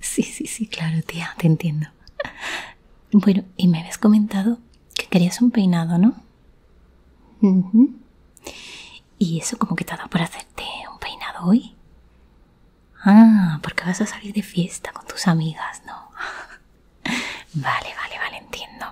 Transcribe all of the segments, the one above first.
Sí, sí, sí, claro, tía, te entiendo. Bueno, y me habías comentado que querías un peinado, ¿no? ¿Y eso como que te ha dado por hacerte un peinado hoy? Ah, porque vas a salir de fiesta con tus amigas, ¿no? vale, vale, vale, entiendo.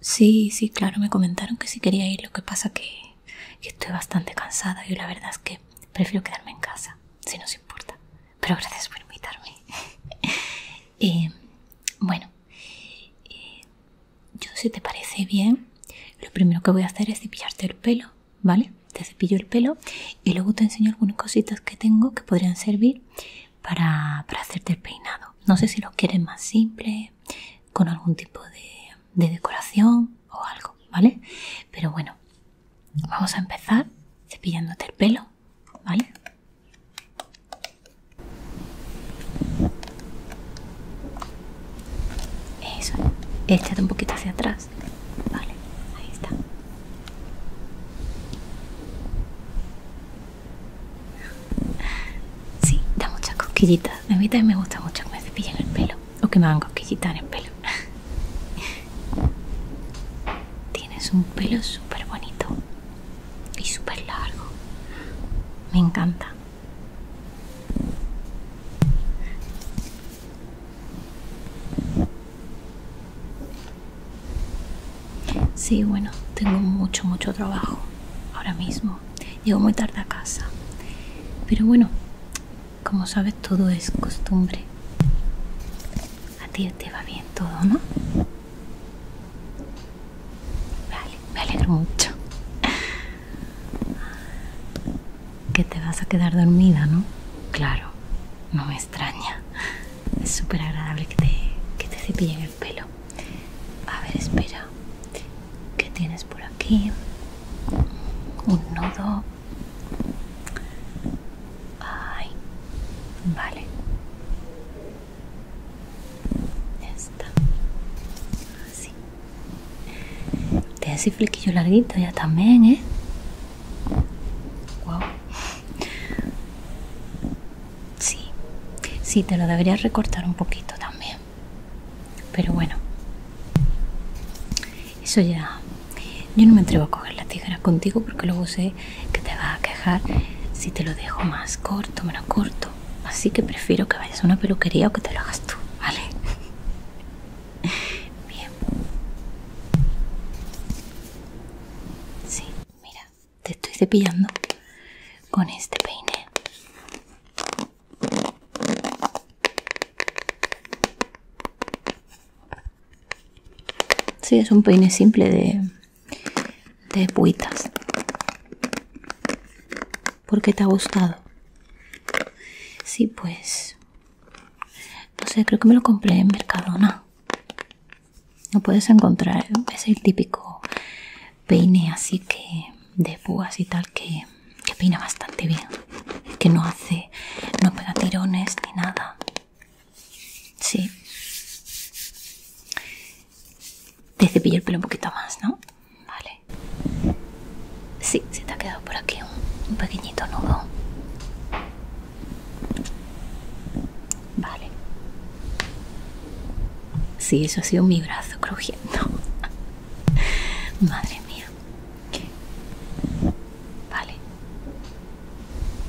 Sí, sí, claro, me comentaron que si quería ir, lo que pasa que estoy bastante cansada y la verdad es que prefiero quedarme en casa, si no nos importa. Pero gracias por invitarme. Eh, bueno, eh, yo si te parece bien, lo primero que voy a hacer es cepillarte el pelo, ¿vale? Te cepillo el pelo y luego te enseño algunas cositas que tengo que podrían servir para, para hacerte el peinado. No sé si lo quieres más simple, con algún tipo de decoración o algo, ¿vale? Pero bueno, vamos a empezar cepillándote el pelo, ¿vale? Eso, échate un poquito hacia atrás. Vale, ahí está. Sí, da muchas cosquillitas. A mí también me gusta mucho que me cepillen el pelo o que me hagan a en el pelo. Tienes un pelo súper bonito y súper largo. Me encanta. Sí, bueno, tengo mucho, mucho trabajo ahora mismo. Llego muy tarde a casa. Pero bueno, como sabes, todo es costumbre. A ti te va bien todo, ¿no? Vale, me alegro mucho. Que te vas a quedar dormida, ¿no? Claro, no me extraña. Es súper agradable que te, que te cepillen el pelo. A ver, espera que tienes por aquí un nudo ay vale esta así te hace flequillo larguito ya también eh wow sí sí te lo deberías recortar un poquito también pero bueno, eso ya. Yo no me atrevo a coger la tijera contigo porque luego sé que te vas a quejar si te lo dejo más corto, menos corto. Así que prefiero que vayas a una peluquería o que te lo hagas tú, ¿vale? Bien. Sí, mira, te estoy cepillando con este peine si, es un peine simple de, de Porque ¿Por qué te ha gustado? Sí, pues... No sé, creo que me lo compré en Mercadona. No puedes encontrar, es el típico peine así que de púas y tal que que peina bastante bien, que no hace, no pega tirones ni nada. Sí. Te cepillo el pelo un poquito más, ¿no? Vale. Sí, se te ha quedado por aquí un, pequeñito nudo. Vale. Sí, eso ha sido mi brazo crujiendo. Madre mía. Vale.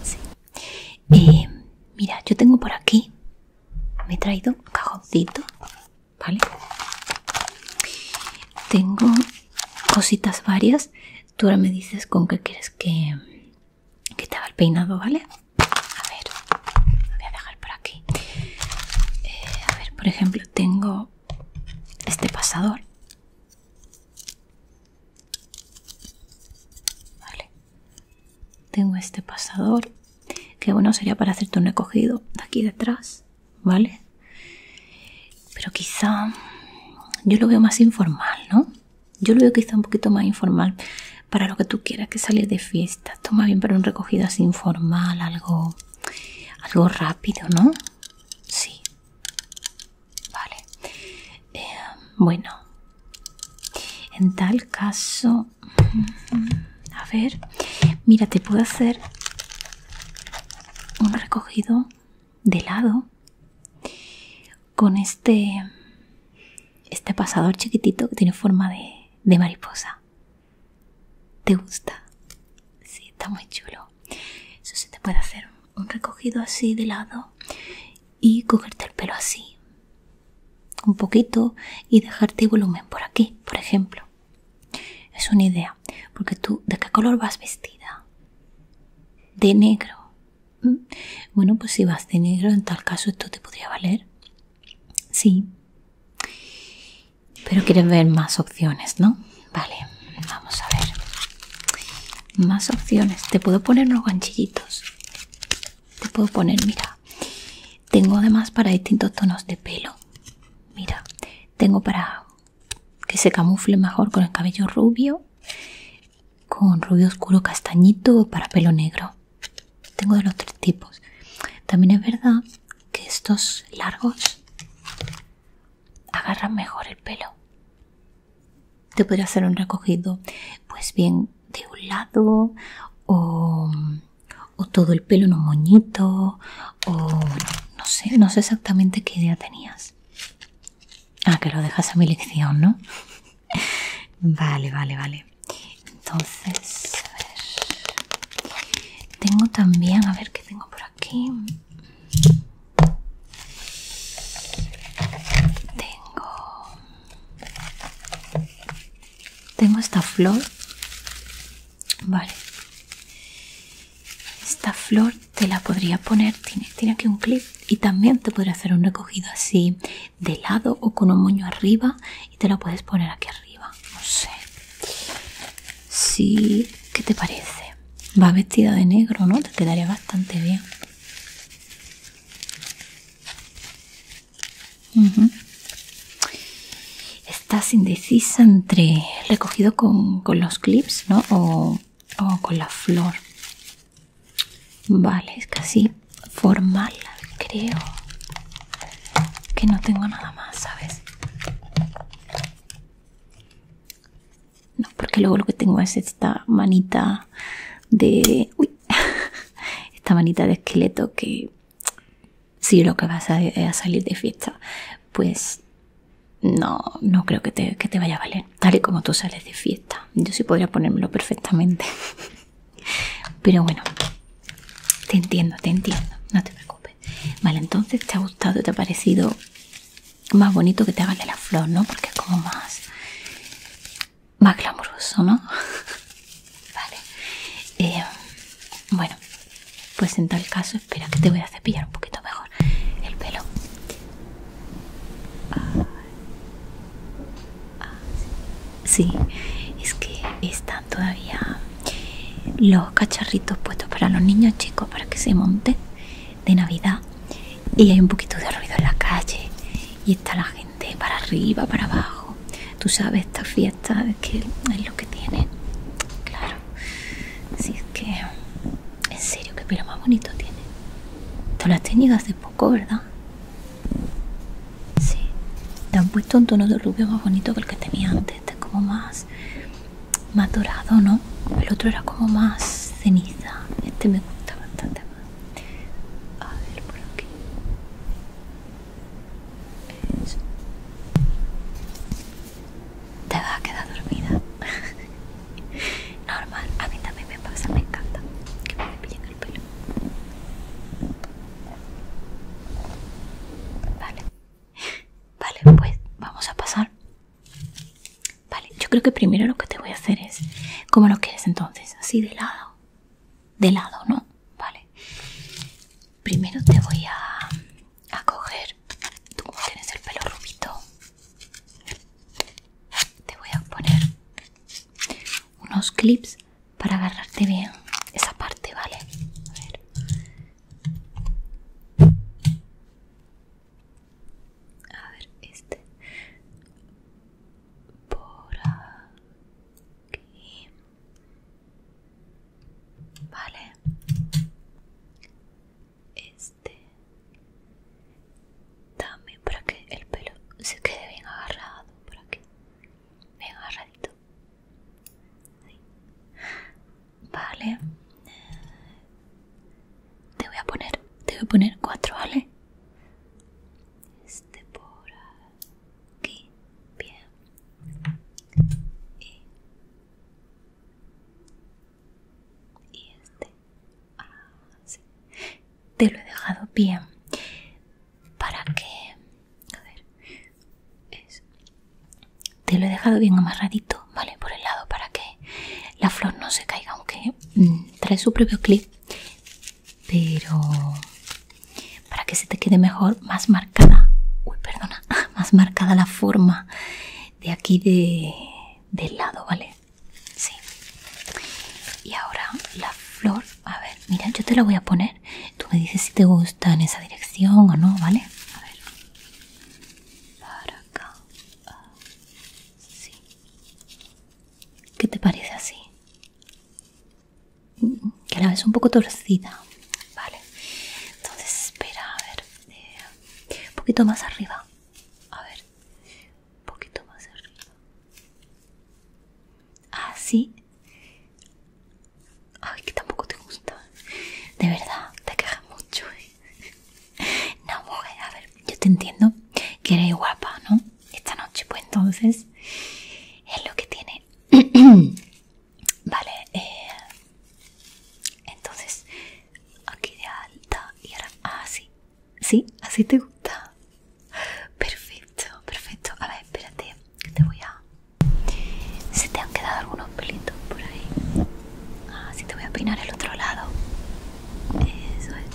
Sí. Eh, mira, yo tengo por aquí. Me he traído un cajoncito. ¿Vale? Tengo cositas varias. Tú ahora me dices con qué quieres que, que te haga el peinado, ¿vale? A ver, voy a dejar por aquí. Eh, a ver, por ejemplo, tengo este pasador. Vale. Tengo este pasador. Que bueno, sería para hacerte un recogido de aquí detrás. ¿Vale? Pero quizá yo lo veo más informal, ¿no? Yo lo veo quizá un poquito más informal para lo que tú quieras, que salir de fiesta. Toma bien para un recogido así informal, algo algo rápido, ¿no? Sí. Vale. Em, bueno, en tal caso, a ver, mira, te puedo hacer un recogido de lado con este este pasador chiquitito que tiene forma de mariposa ¿Te gusta? Sí, está muy chulo. Eso se te puede hacer un recogido así de lado y cogerte el pelo así. Un poquito y dejarte volumen por aquí, por ejemplo. Es una idea. Porque tú, ¿de qué color vas vestida? De negro. ¿Mm? Bueno, pues si vas de negro, en tal caso esto te podría valer. Sí. Pero quieres ver más opciones, ¿no? Vale, vamos a ver. Más opciones. Te puedo poner unos ganchillitos. Te puedo poner, mira. Tengo además para distintos tonos de pelo. Mira, tengo para que se camufle mejor con el cabello rubio, con rubio oscuro castañito o para pelo negro. Tengo de los tres tipos. También es verdad que estos largos agarran mejor el pelo. Te podría hacer un recogido, pues bien, de un lado o, todo el pelo en un moñito o no sé, no sé exactamente qué idea tenías. a ah, que lo dejas a mi lección, ¿no? vale, vale, vale. Entonces, Tengo también, a ver tengo por aquí. Tengo. Tengo esta flor. Vale. Esta flor te la podría poner. Tiene, tiene aquí un clip. Y también te podría hacer un recogido así de lado o con un moño arriba. Y te lo puedes poner aquí arriba no sé. Sí, ¿qué te parece? Va vestida de negro, ¿no? Te quedaría bastante bien. Estás indecisa entre recogido con, los clips, ¿no? O, o con la flor. Vale, es casi formal, creo. Que no tengo nada más, ¿sabes? No, porque luego lo que tengo es esta manita de... esta manita de esqueleto que si lo que vas a, salir de fiesta, pues no, no creo que que te vaya a valer. Tal y como tú sales de fiesta. Yo sí podría ponérmelo perfectamente. Pero bueno, te entiendo, te entiendo. No te preocupes. Vale, entonces te ha gustado, te ha parecido más bonito que te hagan la flor, ¿no? Porque es como más, más glamuroso, ¿no? vale. Eh, bueno, pues en tal caso, espera que te voy a cepillar un poquito mejor el pelo. Ah, sí, es que están todavía los cacharritos puestos para los niños chicos para que se monten de navidad y hay un poquito de ruido en la calle y está la gente para arriba para abajo tú sabes estas fiestas que es lo que tiene claro si es que en serio que pelo más bonito tiene tú lo has tenido hace poco verdad sí te han puesto un tono de rubio más bonito que el que tenía antes es como más madurado, no el otro era como más ceniza este me gusta bastante más a ver por aquí Eso. te va a quedar dormida normal a mí también me pasa me encanta que me pillen el pelo vale Vale, pues vamos a pasar. Vale, yo creo que primero lo que te voy a hacer es... como lo que es entonces? Así de lado. De lado, ¿no? Vale. Primero te voy a, a coger... Tú como tienes el pelo rubito. Te voy a poner unos clips para agarrarte bien esa parte, ¿vale? A ver. A ver, este. Por aquí. Vale. Este. También para que el pelo se quede bien agarrado por aquí. Bien agarradito. Vale. Te voy a poner, te voy a poner cuatro, ¿vale? Este por aquí, bien. Y, este, ah, sí Te lo he dejado bien para que a ver, te lo he dejado bien amarradito, ¿vale? Por el lado para que la flor no se caiga, aunque mm, trae su propio clip, pero para que se te quede mejor, más marcada, uy, perdona, más marcada la forma de aquí de, del lado, ¿vale? Sí. Y ahora la flor, a ver, mira, yo te la voy a poner tú me dices si te gusta en esa dirección o no, ¿vale? A ver. Para acá. Ah, sí. ¿Qué te parece así? Mm, mm, que la ves un poco torcida. Vale. Entonces, espera, a ver. Eh, un poquito más arriba. A ver. Un poquito más arriba. Así. Ah, Ay, que tampoco te gusta. De verdad, te quejas mucho. ¿eh? No, mujer, a ver, yo te entiendo que eres guapa, ¿no? Esta noche, pues entonces, es lo que tiene. vale, eh, entonces, aquí de alta y ahora así. Ah, ¿Sí? ¿Así te gusta? Perfecto, perfecto. A ver, espérate que te voy a... Se te han quedado algunos pelitos por ahí. Así ah, te voy a peinar el otro lado. Eso es.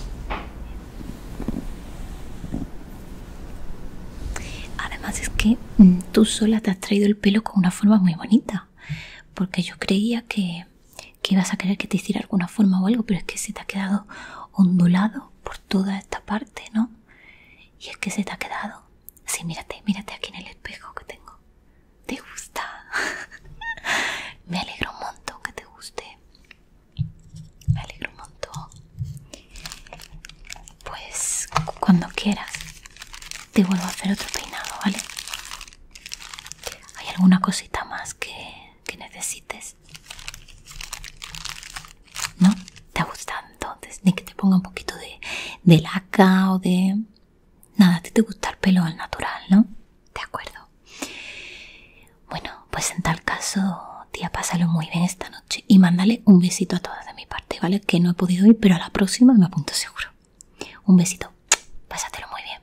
Además es que mm, tú sola te has traído el pelo con una forma muy bonita. Porque yo creía que, que ibas a querer que te hiciera alguna forma o algo, pero es que se te ha quedado ondulado por toda esta parte, ¿no? Y es que se te ha quedado Sí, mírate, mírate aquí en el espejo que tengo. ¿Te gusta? Me alegro un montón que te guste. Me alegro un montón. Pues cuando quieras te vuelvo a hacer otro peinado, ¿vale? ¿Hay alguna cosita más que, que necesites? ¿No? ¿Te ha gustado entonces? Ni que te ponga un poquito de, de laca o de... Nada, a ti te gusta el pelo al natural, ¿no? De acuerdo. Bueno, pues en tal caso, tía, pásalo muy bien esta noche y mándale un besito a todas de mi parte, ¿vale? Que no he podido ir, pero a la próxima me apunto seguro. Un besito. Pásatelo muy bien.